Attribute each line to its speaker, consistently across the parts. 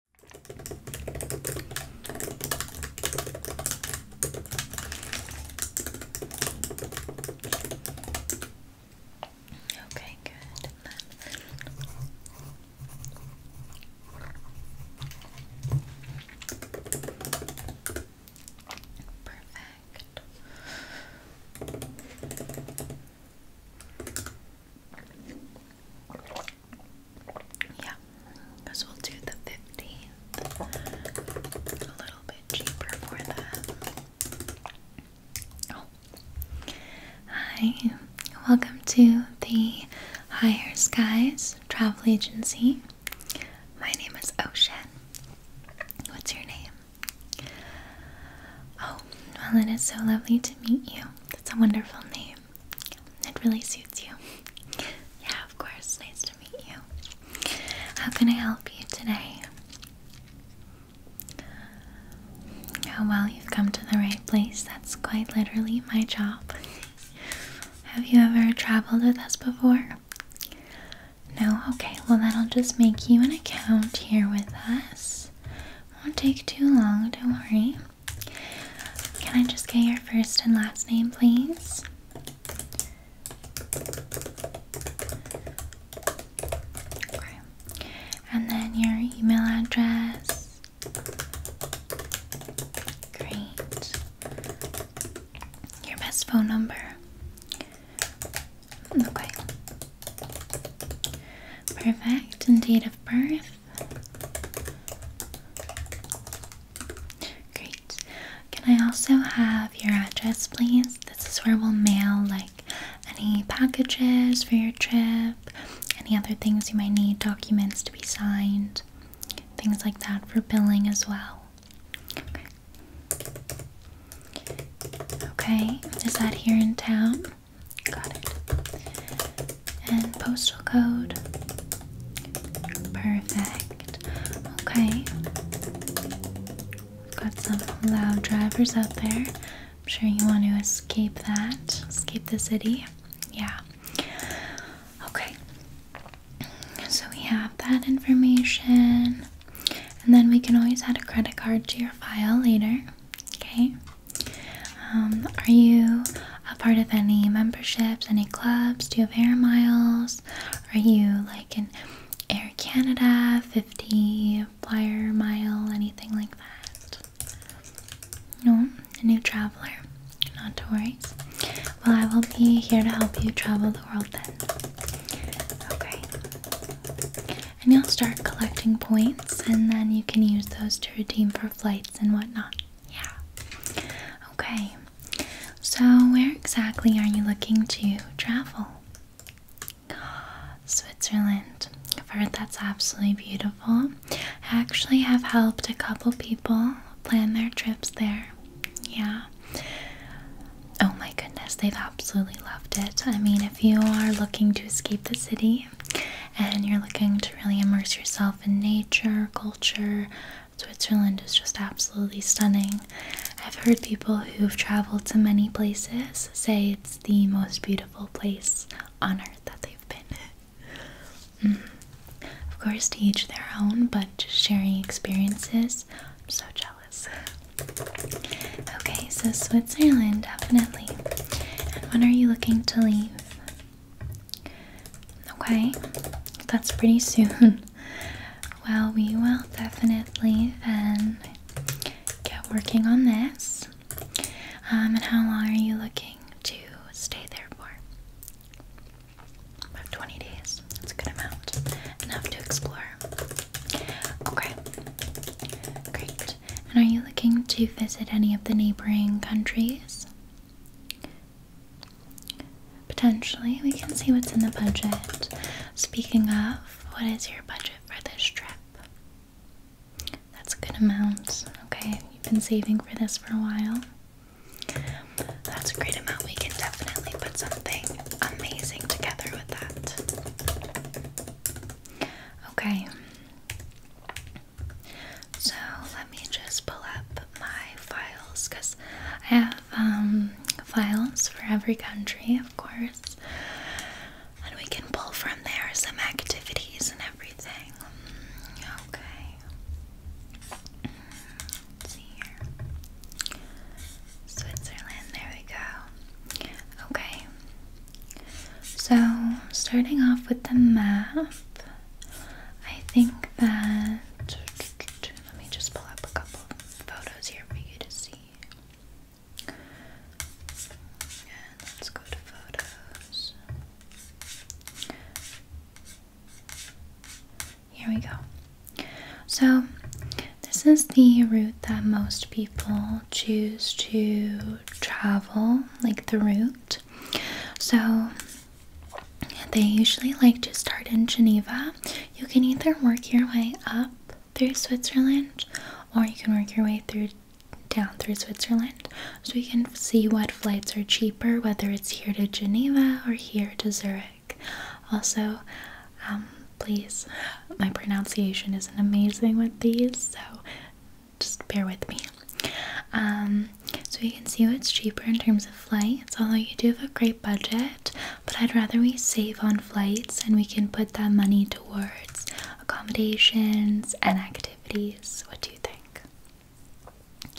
Speaker 1: Okay, good. Perfect. Yeah, because we'll do the 15th. A little bit cheaper for that. Oh. Hi, welcome to the Higher Skies Travel Agency. My name is Ocean. What's your name? Oh, well, it is so lovely to meet you. That's a wonderful name. It really suits you. Yeah, of course. Nice to meet you. How can I help you today? Oh, well, you've come to the right place. That's quite literally my job. Have you ever traveled with us before? No? Okay, well, that'll just make you an account here with us. Won't take too long, don't worry. Can I just get your first and last name, please? And then your email address. Great. Your best phone number. Okay. Perfect. And date of birth. Great. Can I also have your address, please? This is where we'll mail like any packages for your trip, any other things you might need, documents to be signed, things like that for billing as well. Okay. is that here in town? Got it. And postal code. Perfect. Okay. got some loud drivers out there. I'm sure you want to escape that, escape the city. Yeah. Okay. So we have that information. And then we can always add a credit card to your file later. Okay. Um, are you a part of any memberships, any clubs? Do you have air miles? Are you like an Air Canada, 50 flyer mile, anything like that? No, a new traveler. Not to worry. Well, I will be here to help you travel the world then. Okay. And you'll start collecting points, and then you can use those to redeem for flights and whatnot. Yeah. Okay. So, where exactly are you looking to travel? Switzerland. I've heard that's absolutely beautiful. I actually have helped a couple people plan their trips there. Yeah. Oh my goodness, they've absolutely loved it. I mean, if you are looking to escape the city, and you're looking to really immerse yourself in nature, culture. Switzerland is just absolutely stunning. I've heard people who've traveled to many places say it's the most beautiful place on earth that they've been. mm. Of course, to each their own, but just sharing experiences. I'm so jealous. Okay, so Switzerland, definitely. And when are you looking to leave? Okay, that's pretty soon. Well, we will definitely then um, get working on this. Um, and how long are you looking to stay there for? About 20 days. That's a good amount. Enough to explore. Okay. Great. And are you looking to visit any of the neighboring countries? Potentially, we can see what's in the budget. Speaking of, what is your budget for this trip? That's a good amount. Okay, you've been saving for this for a while. That's a great amount. We can definitely put something amazing together with that. Okay. So let me just pull up my files because I have um, files for every country, of course, and we can pull from there some activities and everything. Okay. see here. Switzerland, there we go. Okay, so, starting off with the map, I think that. Let me just pull up a couple photos here for you to see. And let's go to photos. Here we go. So, this is the route that most people choose to travel, like the route. So they usually like to start in Geneva. You can either work your way up through Switzerland or you can work your way through down through Switzerland. So you can see what flights are cheaper, whether it's here to Geneva or here to Zurich. Also, um, please, my pronunciation isn't amazing with these, so just bear with me. Um, so you can see what's cheaper in terms of flights, although you do have a great budget, but I'd rather we save on flights and we can put that money towards accommodations and activities. What do you think?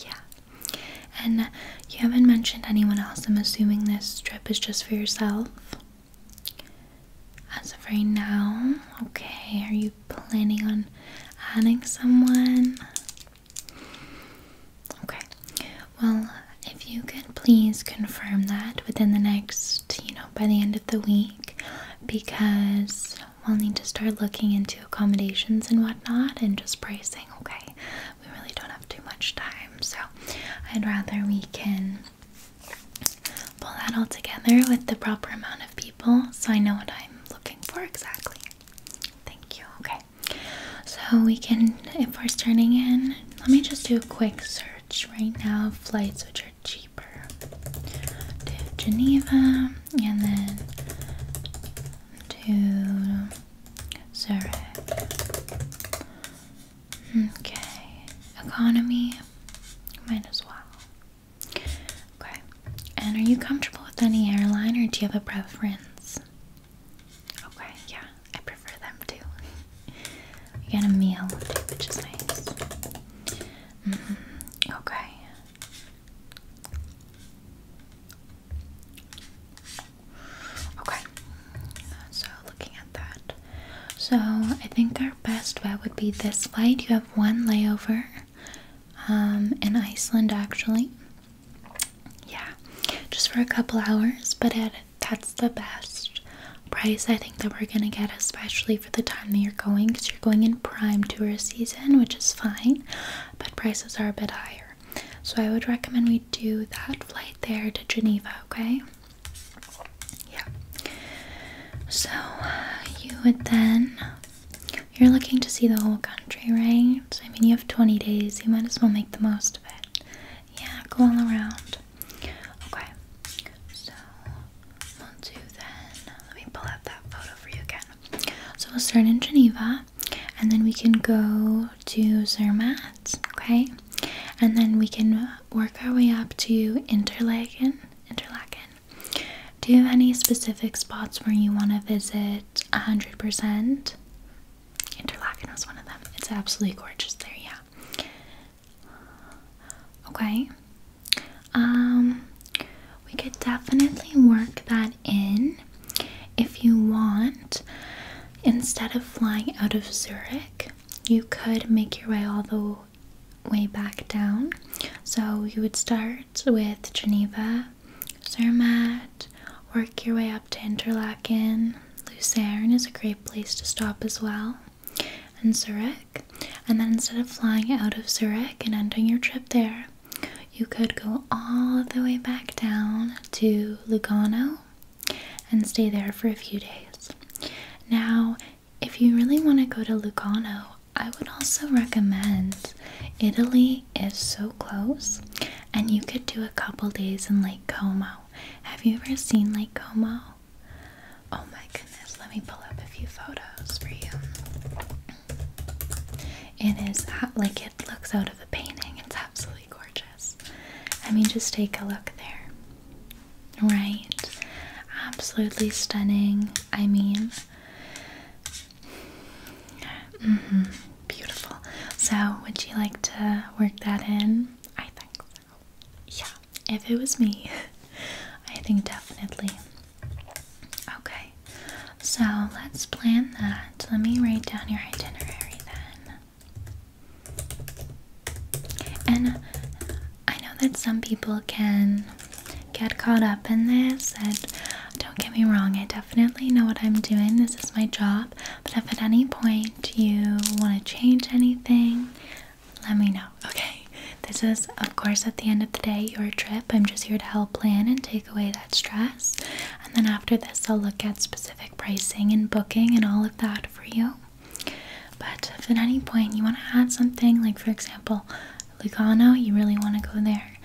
Speaker 1: Yeah. And you haven't mentioned anyone else. I'm assuming this trip is just for yourself as of right now. Okay, are you planning on adding someone? Okay, well, if you could please confirm that within the next, you know, by the end of the week, because we'll need to start looking into accommodations and whatnot and just pricing, okay? We really don't have too much time, so I'd rather we can pull that all together with the proper amount of people so I know what I'm looking for exactly. Thank you. Okay. So we can, if we're starting in, let me just do a quick search right now flights which are cheaper to Geneva and then to Zurich. Okay, economy, might as well. Okay. And are you comfortable with any airline or do you have a preference? Okay, yeah, I prefer them too. You got a meal which is nice. Mm-hmm, okay. Okay. So looking at that. So I think our best bet would be this flight. You have one layover um, in Iceland actually. Yeah, just for a couple hours, but that's the best price I think that we're gonna get, especially for the time that you're going, because you're going in prime tourist season, which is fine, but prices are a bit higher. So I would recommend we do that flight there to Geneva, okay? Yeah. So you would then, you're looking to see the whole country, right? I mean, you have 20 days. You might as well make the most of it. Yeah, go all around. Okay. So we'll do then. Let me pull out that photo for you again. So we'll start in Geneva, and then we can go to Zermatt. Okay. And then we can work our way up to Interlaken. Interlaken. Do you have any specific spots where you want to visit 100%? Interlaken was one of them. It's absolutely gorgeous there, yeah. Okay. Um, we could definitely work that in if you want. Instead of flying out of Zurich, you could make your way all the way back down. So you would start with Geneva, Zermatt, work your way up to Interlaken. Lucerne is a great place to stop as well, and Zurich. And then instead of flying out of Zurich and ending your trip there, you could go all the way back down to Lugano and stay there for a few days. Now, if you really want to go to Lugano, I would also recommend Italy is so close and you could do a couple days in Lake Como. Have you ever seen Lake Como? Oh my goodness, let me pull up a few photos for you. It is like it looks out of a painting. It's absolutely gorgeous. I mean, just take a look there. Right? Absolutely stunning. I mean, mm-hmm. beautiful. So, would you like to work that in? I think so. Yeah, if it was me, I think definitely. Okay, so let's plan that. Let me write down your itinerary then. And I know that some people can get caught up in this, and don't get me wrong, I definitely know what I'm doing. This is my job. But if at any point you want to change anything, let me know, okay? This is, of course, at the end of the day, your trip. I'm just here to help plan and take away that stress. And then after this, I'll look at specific pricing and booking and all of that for you. But if at any point you want to add something, like for example, Lugano, you really want to go there,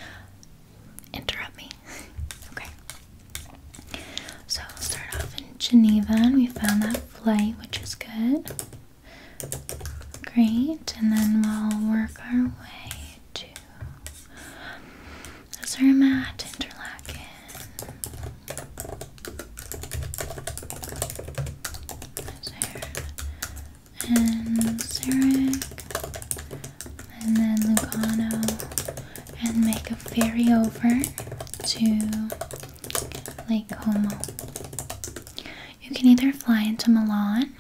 Speaker 1: interrupt me. okay. So we'll start off in Geneva, and we found that flight, which is good. Great, and then we'll work our way to Zermatt, Interlaken. And Zarek. And then Lugano. And make a ferry over to Lake Como. You can either fly into Milan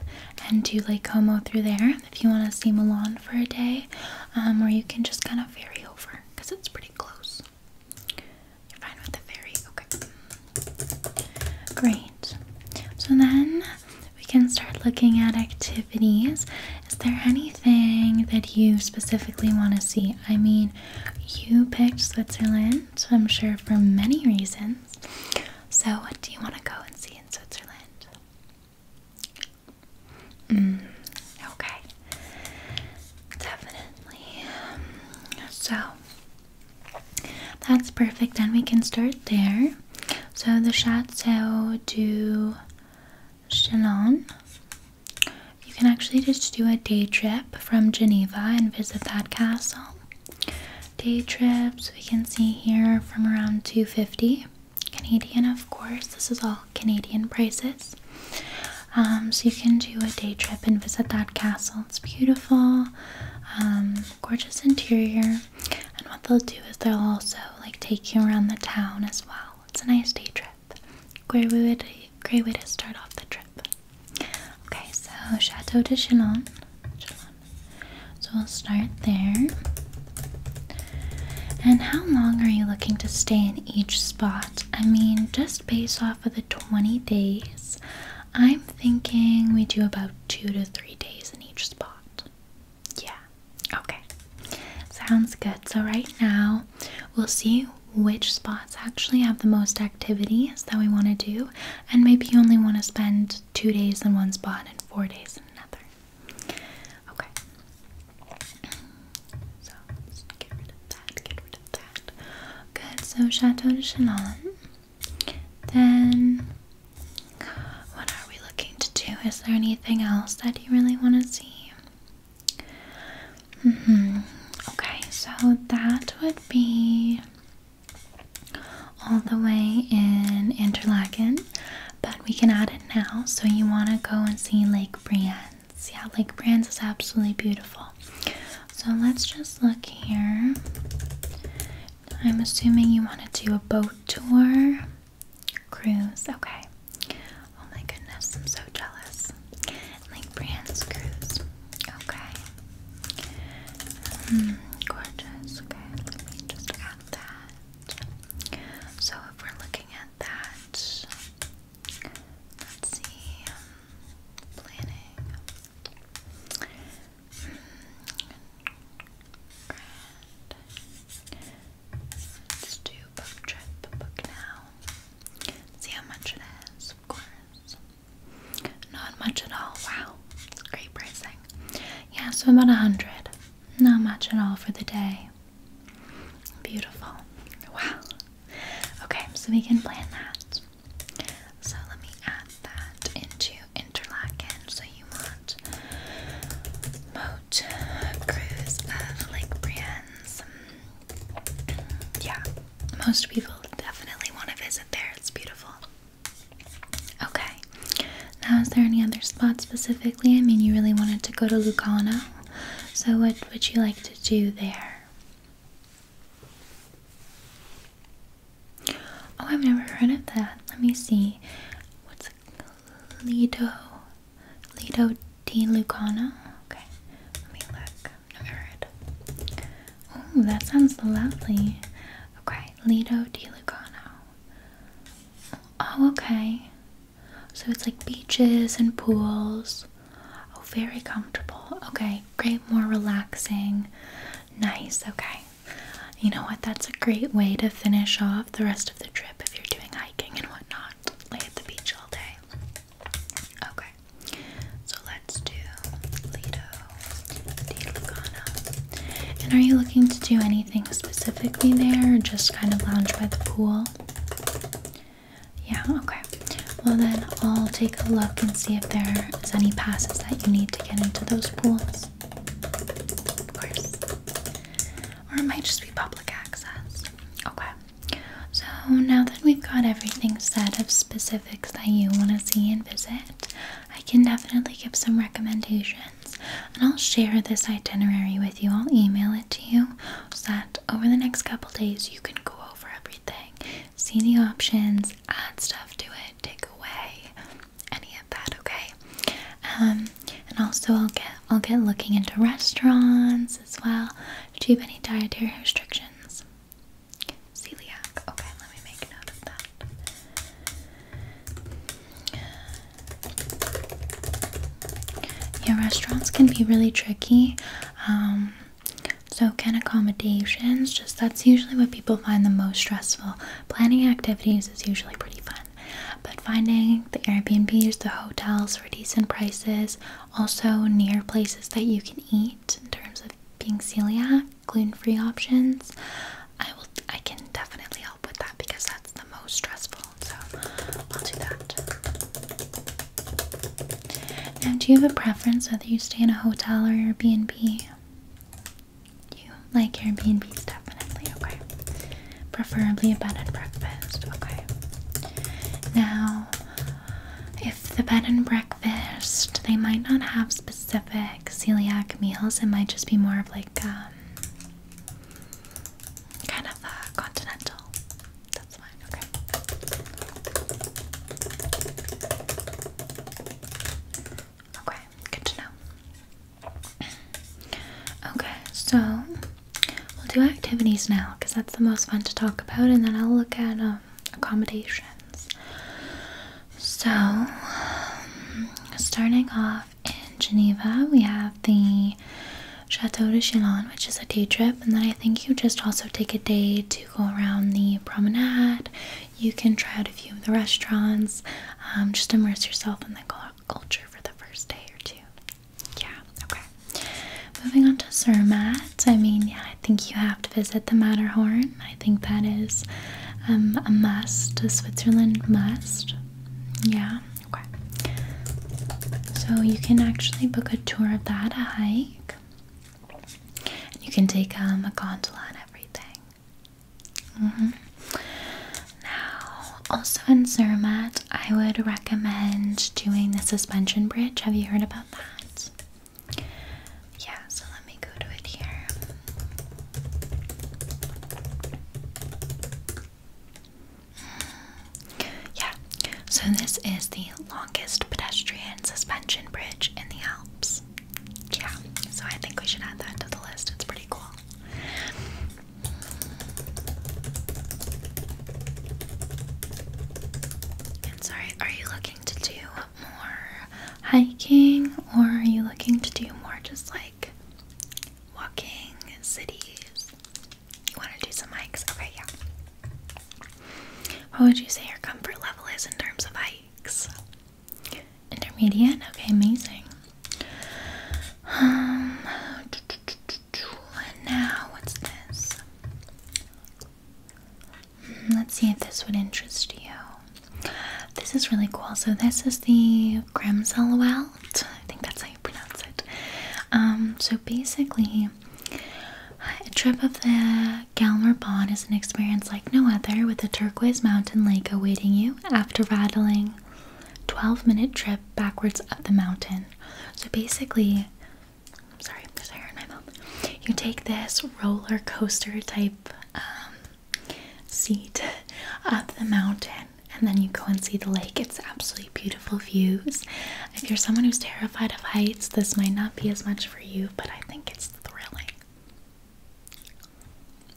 Speaker 1: and do Lake Como through there if you want to see Milan for a day, um, or you can just kind of ferry over because it's pretty close. You're fine with the fairy? Okay. Great. So then we can start looking at activities. Is there anything that you specifically want to see? I mean, you picked Switzerland, so I'm sure for many reasons. So, what do you want to go and see in Switzerland? Mm, okay. Definitely. so, that's perfect, and we can start there. So the Chateau du Chalon. You can actually just do a day trip from Geneva and visit that castle. Day trips we can see here from around 250 Canadian, of course. This is all Canadian prices. Um, so you can do a day trip and visit that castle. It's beautiful, um, gorgeous interior. And what they'll do is they'll also like take you around the town as well. It's a nice day trip. Great way to, great way to start off the trip. Okay, so Chateau de Chinon. So we'll start there. And how long are you looking to stay in each spot? I mean, just based off of the. 20 days, I'm thinking we do about two to three days in each spot. Yeah, okay, sounds good. So, right now, we'll see which spots actually have the most activities that we want to do, and maybe you only want to spend two days in one spot and four days in another. Okay, so get rid of that, get rid Good, so Chateau de Chelan. Then, what are we looking to do? Is there anything else that you really want to see? hmm. Okay, so that would be all the way in Interlaken, but we can add it now. So, you want to go and see Lake Brienne brands. Yeah, like Brands is absolutely beautiful. So let's just look here. I'm assuming you want to do a boat tour cruise. Okay. Oh my goodness, I'm so jealous. Like Brands cruise. Okay. Hmm, gorgeous. Okay, let me just add that. So if we're looking at that, let's see. Um, planning. Grand. Let's do book trip book now. See how much it is, of course. Not much at all. Wow, great pricing. Yeah, so about a hundred. Not much at all for the day. Beautiful. Wow. Okay, so we can plan that. So let me add that into Interlaken. So you want boat cruise of Lake Brienne's. Yeah, most people definitely want to visit there. It's beautiful. Okay. Now, is there any other spot specifically? I mean, you really wanted to go to Lucano. So, what would you like to do there? Oh, I've never heard of that. Let me see. What's Lido? Lido di Lucano? Okay, let me look. never heard. Oh, that sounds lovely. Okay, Lido di Lucano. Oh, okay. So it's like beaches and pools. Oh, very comfortable. Okay, great, more relaxing. Nice, okay. You know what? That's a great way to finish off the rest of the trip if you're doing hiking and whatnot. Lay at the beach all day. Okay, so let's do Lido de And are you looking to do anything specifically there or just kind of lounge by the pool? Yeah, okay. Well, then I'll take a look and see if there is any passes that you need to get into those pools. Of course. Or it might just be public access. Okay. So now that we've got everything set of specifics that you want to see and visit, I can definitely give some recommendations. And I'll share this itinerary with you. I'll email it to you so that over the next couple days you can go over everything See the options, add stuff to it, take away any of that, okay? Um, and also I'll get I'll get looking into restaurants as well. Do you have any dietary restrictions? Celiac. Okay, let me make note of that. Yeah, restaurants can be really tricky. Um, so, can accommodations, just that's usually what people find the most stressful. Planning activities is usually pretty fun, but finding the Airbnbs, the hotels for decent prices, also near places that you can eat in terms of being celiac, gluten free options. I will, I can definitely help with that because that's the most stressful. So, I'll do that. Now, do you have a preference whether you stay in a hotel or Airbnb? You like Airbnb, definitely, okay. Preferably a bed and breakfast, okay. Now, if the bed and breakfast, they might not have specific celiac meals, it might just be more of like um, kind of a continental that's fine. Okay. Okay, good to know. Okay, so we'll do activities now because that's the most fun to talk about, and then I'll look at um, accommodations. So, um, starting off in Geneva, we have the Chateau de Chillon, which is a day trip, and then I think you just also take a day to go around the promenade. You can try out a few of the restaurants, um, just immerse yourself in the culture for the first day or two. Yeah, okay. Moving on to Zermatt, I mean, yeah, I think you have to visit the Matterhorn. I think that is um, a must, a Switzerland must. Yeah, okay. So you can actually book a tour of that, a hike. And you can take um, a gondola and everything. Mm-hmm. Now, also in Zermatt, I would recommend doing the suspension bridge. Have you heard about that? Yeah, so let me go to it here yeah, so this is the longest pedestrian suspension bridge in the Alps. Yeah, so I think we should add that to the list. It's pretty cool. sorry, are you looking to do more hiking or are you looking to do more just like walking cities? You want to do some hikes? Okay, yeah. What would you say your comfort level is in terms of hikes? Intermediate? Okay, amazing. Um, now, what's this? Hmm, let's see if this would interest you. This is really cool. So, this is the Grimselwald. I think that's how you pronounce it. Um, so, basically, a trip of the Galmer Pond is an experience like no other, with a turquoise mountain lake awaiting you after rattling 12 minute trip backwards up the mountain. So basically, sorry, there's hair in my mouth. You take this roller coaster type um, seat up the mountain and then you go and see the lake. It's absolutely beautiful views. If you're someone who's terrified of heights, this might not be as much for you, but I think it's thrilling.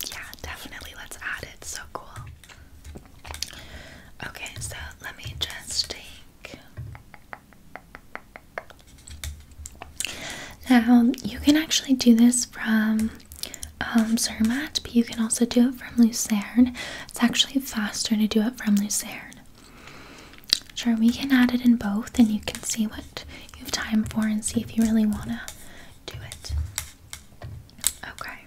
Speaker 1: Yeah, definitely. Let's add it. So cool. Okay, so let me just take. Now, you can actually do this from um, Zermatt, but you can also do it from Lucerne. It's actually faster to do it from Lucerne. Sure, we can add it in both and you can see what you have time for and see if you really want to do it. Okay.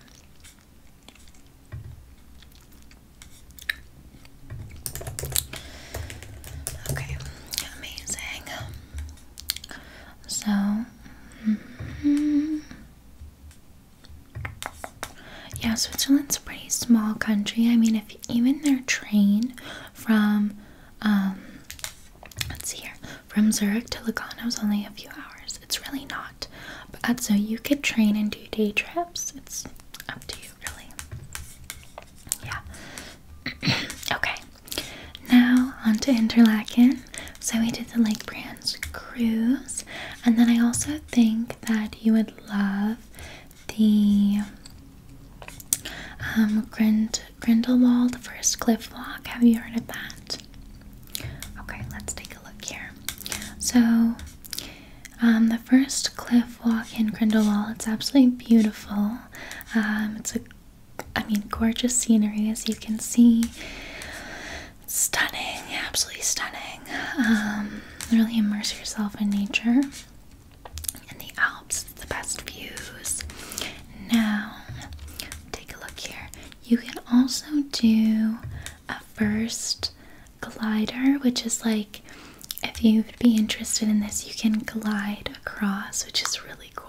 Speaker 1: Okay, amazing. So, mm-hmm. Yeah, Switzerland's a pretty small country. I mean, if even their train from, um, let's see here, from Zurich to Lugano is only a few hours. It's really not. But so you could train and do day trips. It's up to you, really. Yeah. okay. Now on to Interlaken. So we did the Lake Brands cruise, and then I also think that you would love the um, Grind Grindelwald First Cliff Walk. Have you heard of that? Okay, let's take a look here. So, um, the first cliff walk in Grindelwald, it's absolutely beautiful. Um, it's a, I mean, gorgeous scenery as you can see. Stunning, absolutely stunning. Um, really immerse yourself in nature. In the Alps, the best views. Now, take a look here. You can also do a first glider, which is like if you'd be interested in this, you can glide across, which is really cool.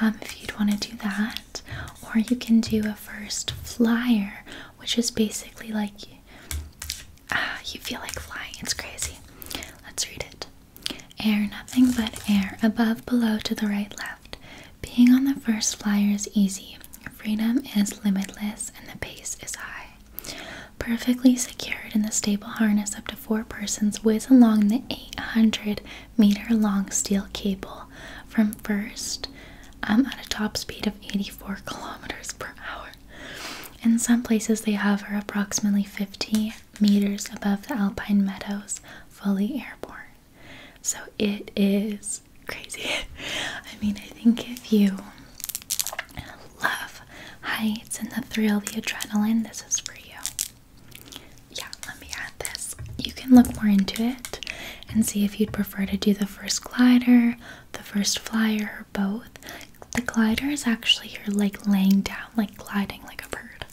Speaker 1: Um, if you'd want to do that, or you can do a first flyer, which is basically like Ah, you feel like flying. It's crazy. Let's read it. Air nothing but air, above, below, to the right, left. Being on the first flyer is easy. Freedom is limitless and the pace is high. Perfectly secured in the stable harness up to four persons, whiz along the 800 meter long steel cable from first I'm at a top speed of 84 kilometers per hour. In some places, they hover approximately 50 meters above the alpine meadows, fully airborne. So it is crazy. I mean, I think if you love heights and the thrill, of the adrenaline, this is for you. Yeah, let me add this. You can look more into it and see if you'd prefer to do the first glider the first flyer or both. The glider is actually you're like laying down, like gliding like a bird.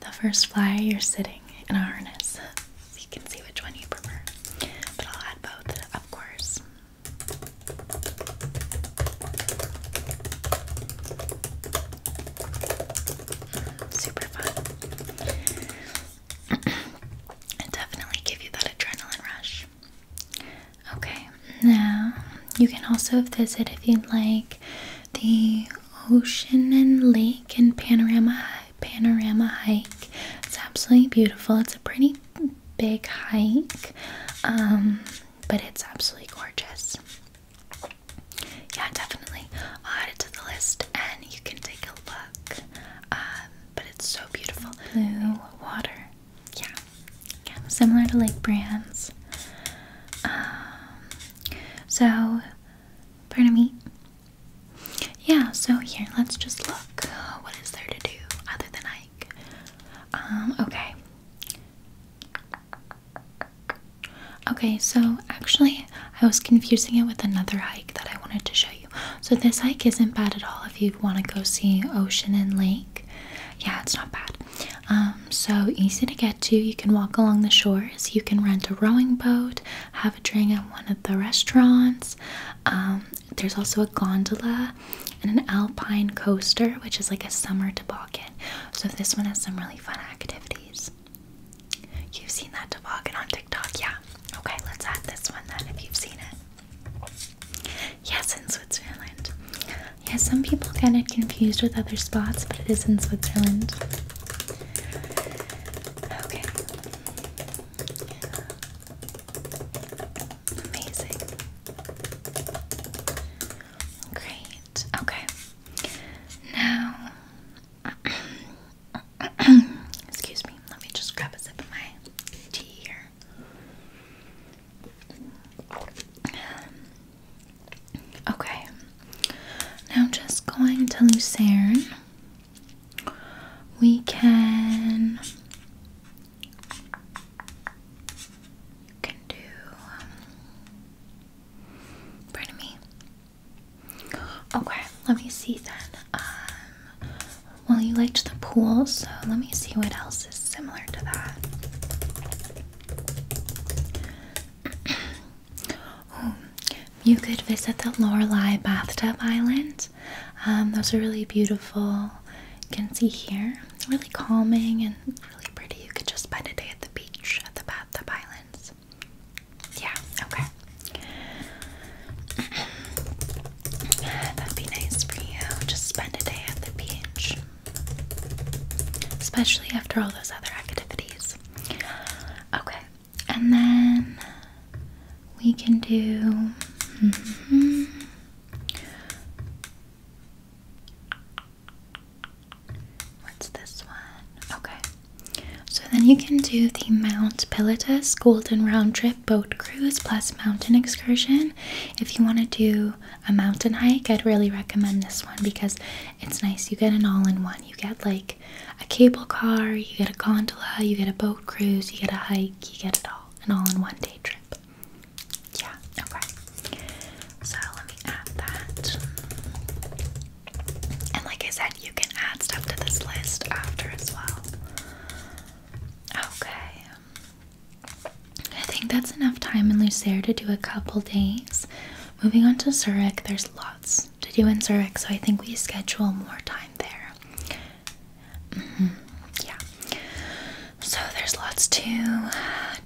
Speaker 1: The first flyer you're sitting in a harness. So you can see which one you prefer. But I'll add both, of course. Super fun. Definitely give you that adrenaline rush. Okay, now you can also visit if you'd like the ocean and lake and panorama panorama hike. It's absolutely beautiful. It's a pretty big hike, um, but it's absolutely gorgeous. Yeah, definitely. I'll add it to the list and you can take a look. Um, but it's so beautiful. Blue water. Yeah. yeah. Similar to Lake Brands. Um, so, pardon me. Yeah, so here, let's just look. What is there to do other than hike? Um, okay. Okay, so actually, I was confusing it with another hike that I wanted to show you. So this hike isn't bad at all if you want to go see ocean and lake. Yeah, it's not bad. Um, so easy to get to. You can walk along the shores. You can rent a rowing boat, have a drink at one of the restaurants. Um, there's also a gondola and an alpine coaster, which is like a summer toboggan. So this one has some really fun activities. You've seen that toboggan on TikTok, yeah? Okay, let's add this one then if you've seen it. Yes, in Switzerland. Yeah, some people get it confused with other spots, but it is in Switzerland. Okay. Amazing. Great. Okay. Now Excuse me. Let me just grab a sip of my tea here. Okay. Now I'm just going to Lucerne. We can can do um, pardon me. Okay, let me see then. Um, well, you liked the pool, so let me see what else is similar to that. Oh, you could visit the Lorelei Bathtub Island. Um, those are really beautiful. You can see here, really calming and really pretty. You could just spend a day at the beach at the Bathtub Islands. Yeah, okay. That'd be nice for you. Just spend a day at the beach. Especially after all those other activities. Okay, and then we can do. Mm-hmm. What's this one? Okay. So then you can do the Mount Pilatus Golden Round Trip Boat cruise plus mountain excursion. If you want to do a mountain hike, I'd really recommend this one because it's nice. You get an all in one. You get like a cable car, you get a gondola, you get a boat cruise, you get a hike, you get it all. An all in one day trip. Yeah, okay. So let me add that. And like I said, you can add stuff to this list after as well. Okay. I think that's enough time in Lucerne to do a couple days. Moving on to Zurich, there's lots to do in Zurich, so I think we schedule more time there. Mm-hmm. Yeah. So there's lots to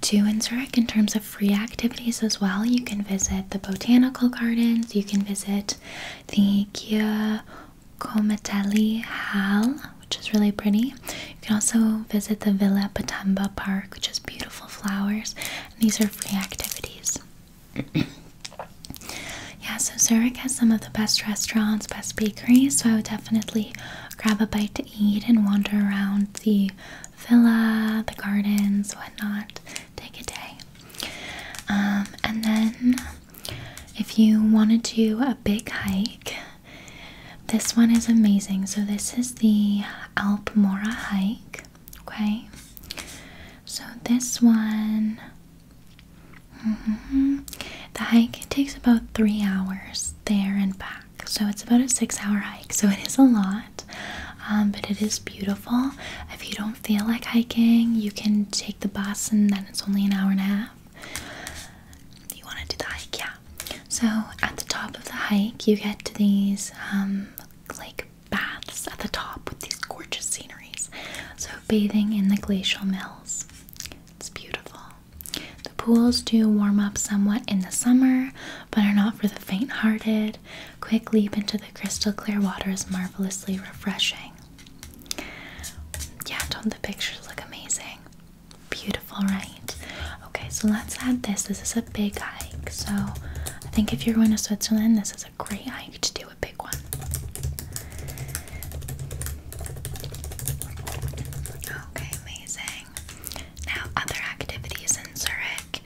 Speaker 1: do in Zurich in terms of free activities as well. You can visit the botanical gardens, you can visit the Komateli Hall, which is really pretty. You can also visit the Villa Patamba Park, which has beautiful flowers. these are free activities. yeah, so Zurich has some of the best restaurants, best bakeries, so I would definitely grab a bite to eat and wander around the villa, the gardens, whatnot. Take a day. Um, and then if you want to do a big hike, this one is amazing. So, this is the Alpmora hike. Okay, so this one, mm-hmm. the hike takes about three hours there and back. So, it's about a six hour hike. So, it is a lot, um, but it is beautiful. If you don't feel like hiking, you can take the bus and then it's only an hour and a half. You want to do the hike, yeah. So at the top of the hike, you get to these um, like baths at the top with these gorgeous sceneries. So bathing in the glacial mills, it's beautiful. The pools do warm up somewhat in the summer, but are not for the faint-hearted. Quick leap into the crystal clear water is marvelously refreshing. Yeah, don't the pictures look amazing. Beautiful, right? Okay, so let's add this. This is a big hike. So I think if you're going to Switzerland, this is a great hike to do a big one. Okay, amazing. Now, other activities in Zurich.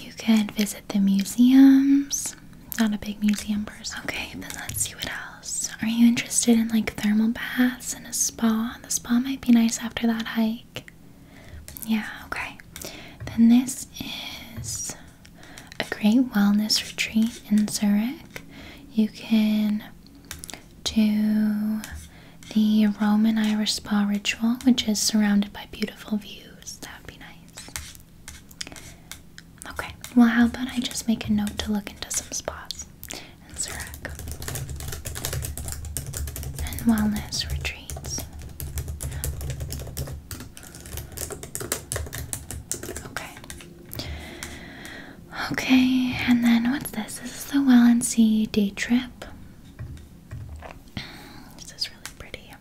Speaker 1: You can visit the museums not a big museum person. Okay, then let's see what else. Are you interested in like thermal baths and a spa? The spa might be nice after that hike. Yeah, okay. Then this is a great wellness retreat in Zurich. You can do the Roman Irish spa ritual, which is surrounded by beautiful views. That would be nice. Okay, well, how about I just make a note to look into some spas and Zurich and wellness retreats? Okay. Okay, and then what's this? This is the Well and Sea Day Trip. This is really pretty.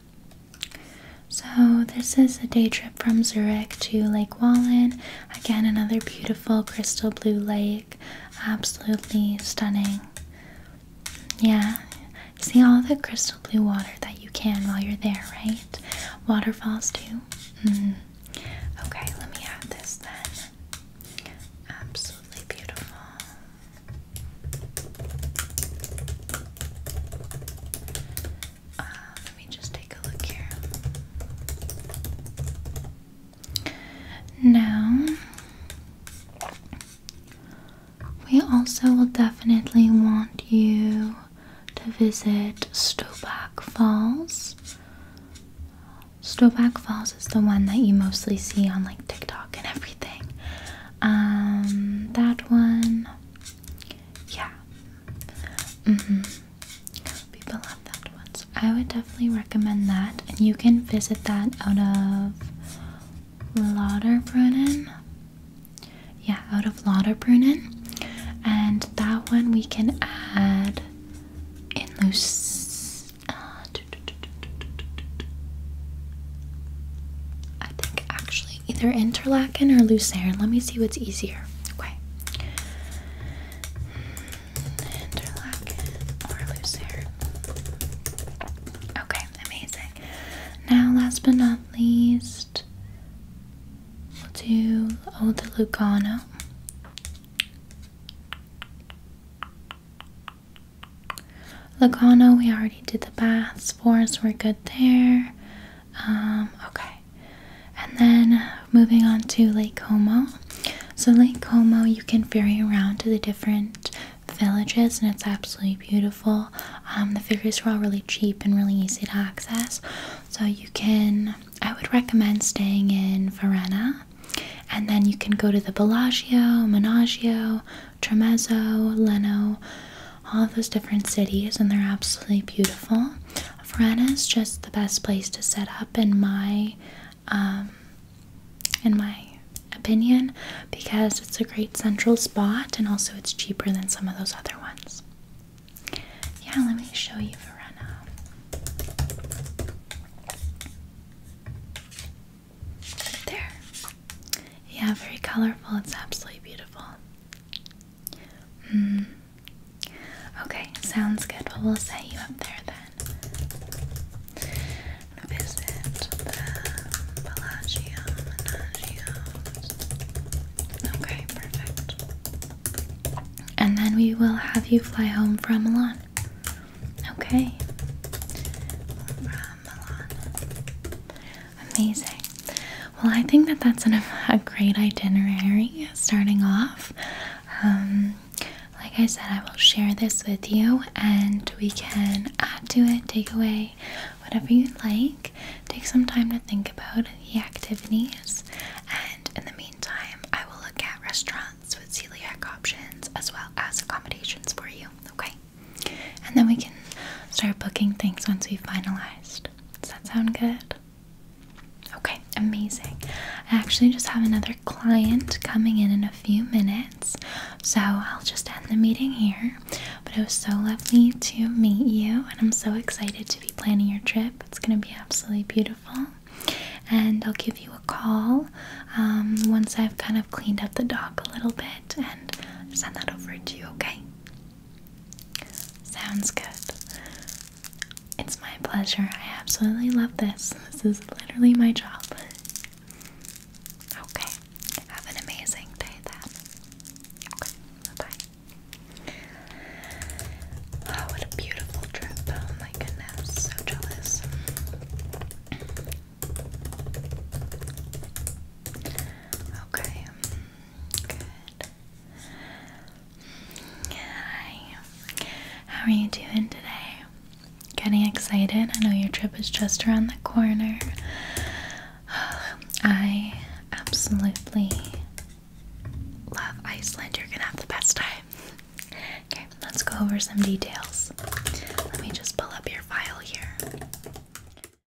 Speaker 1: So, this is a day trip from Zurich to Lake Wallen. Again, another beautiful crystal blue lake. Absolutely stunning. Yeah, see all the crystal blue water that you can while you're there, right? Waterfalls, too. Mm-hmm. Okay, let me add this then. Absolutely beautiful. Uh, let me just take a look here. Now, we also will definitely want you to visit Stoback Falls. Stoback Falls is the one that you mostly see on like TikTok and everything. Um, that one, yeah, Mm hmm People love that one. I would definitely recommend that. And you can visit that out of Lauderbrunnen. Yeah, out of Lauderbrunnen. And that one we can add in loose. Uh, I think actually either interlaken or lucerne. Let me see what's easier. Okay. Interlaken or lucerne. Okay, amazing. Now, last but not least, we'll do oh the Lugano. Lugano, we already did the baths for us, we're good there. Um, okay. And then moving on to Lake Como. So, Lake Como, you can ferry around to the different villages, and it's absolutely beautiful. Um, the ferries are all really cheap and really easy to access. So, you can, I would recommend staying in Verena. And then you can go to the Bellagio, Menaggio, Tremezzo, Leno, all those different cities, and they're absolutely beautiful. Verona is just the best place to set up, in my um, in my opinion, because it's a great central spot, and also it's cheaper than some of those other ones. Yeah, let me show you Verona. There. Yeah, very colorful. It's absolutely beautiful. Hmm. Okay, sounds good. Well, we'll set you up there then. visit the Bellagio Menagios. Okay, perfect. And then we will have you fly home from Milan. Okay. From Milan. Amazing. Well, I think that that's a great itinerary starting off. Um, like I said, I will share this with you and we can add to it, take away whatever you'd like. Take some time to think about the activities, and in the meantime, I will look at restaurants with celiac options as well as accommodations for you, okay? And then we can start booking things once we've finalized. Does that sound good? Okay, amazing. I actually just have another client coming in in a few minutes, so I'll just end the meeting here. But it was so lovely to meet you, and I'm so excited to be planning your trip. It's going to be absolutely beautiful. And I'll give you a call um, once I've kind of cleaned up the dock a little bit and send that over to you, okay? Sounds good. It's my pleasure. I absolutely love this. This is literally my job. Okay. Have an amazing day then. Okay. Bye Oh, what a beautiful trip. Oh my goodness. So jealous. Okay. Hi. How are you doing today? Getting excited? I know your trip is just around the corner. I absolutely love Iceland. You're gonna have the best time. Okay, let's go over some details. Let me just pull up your file here.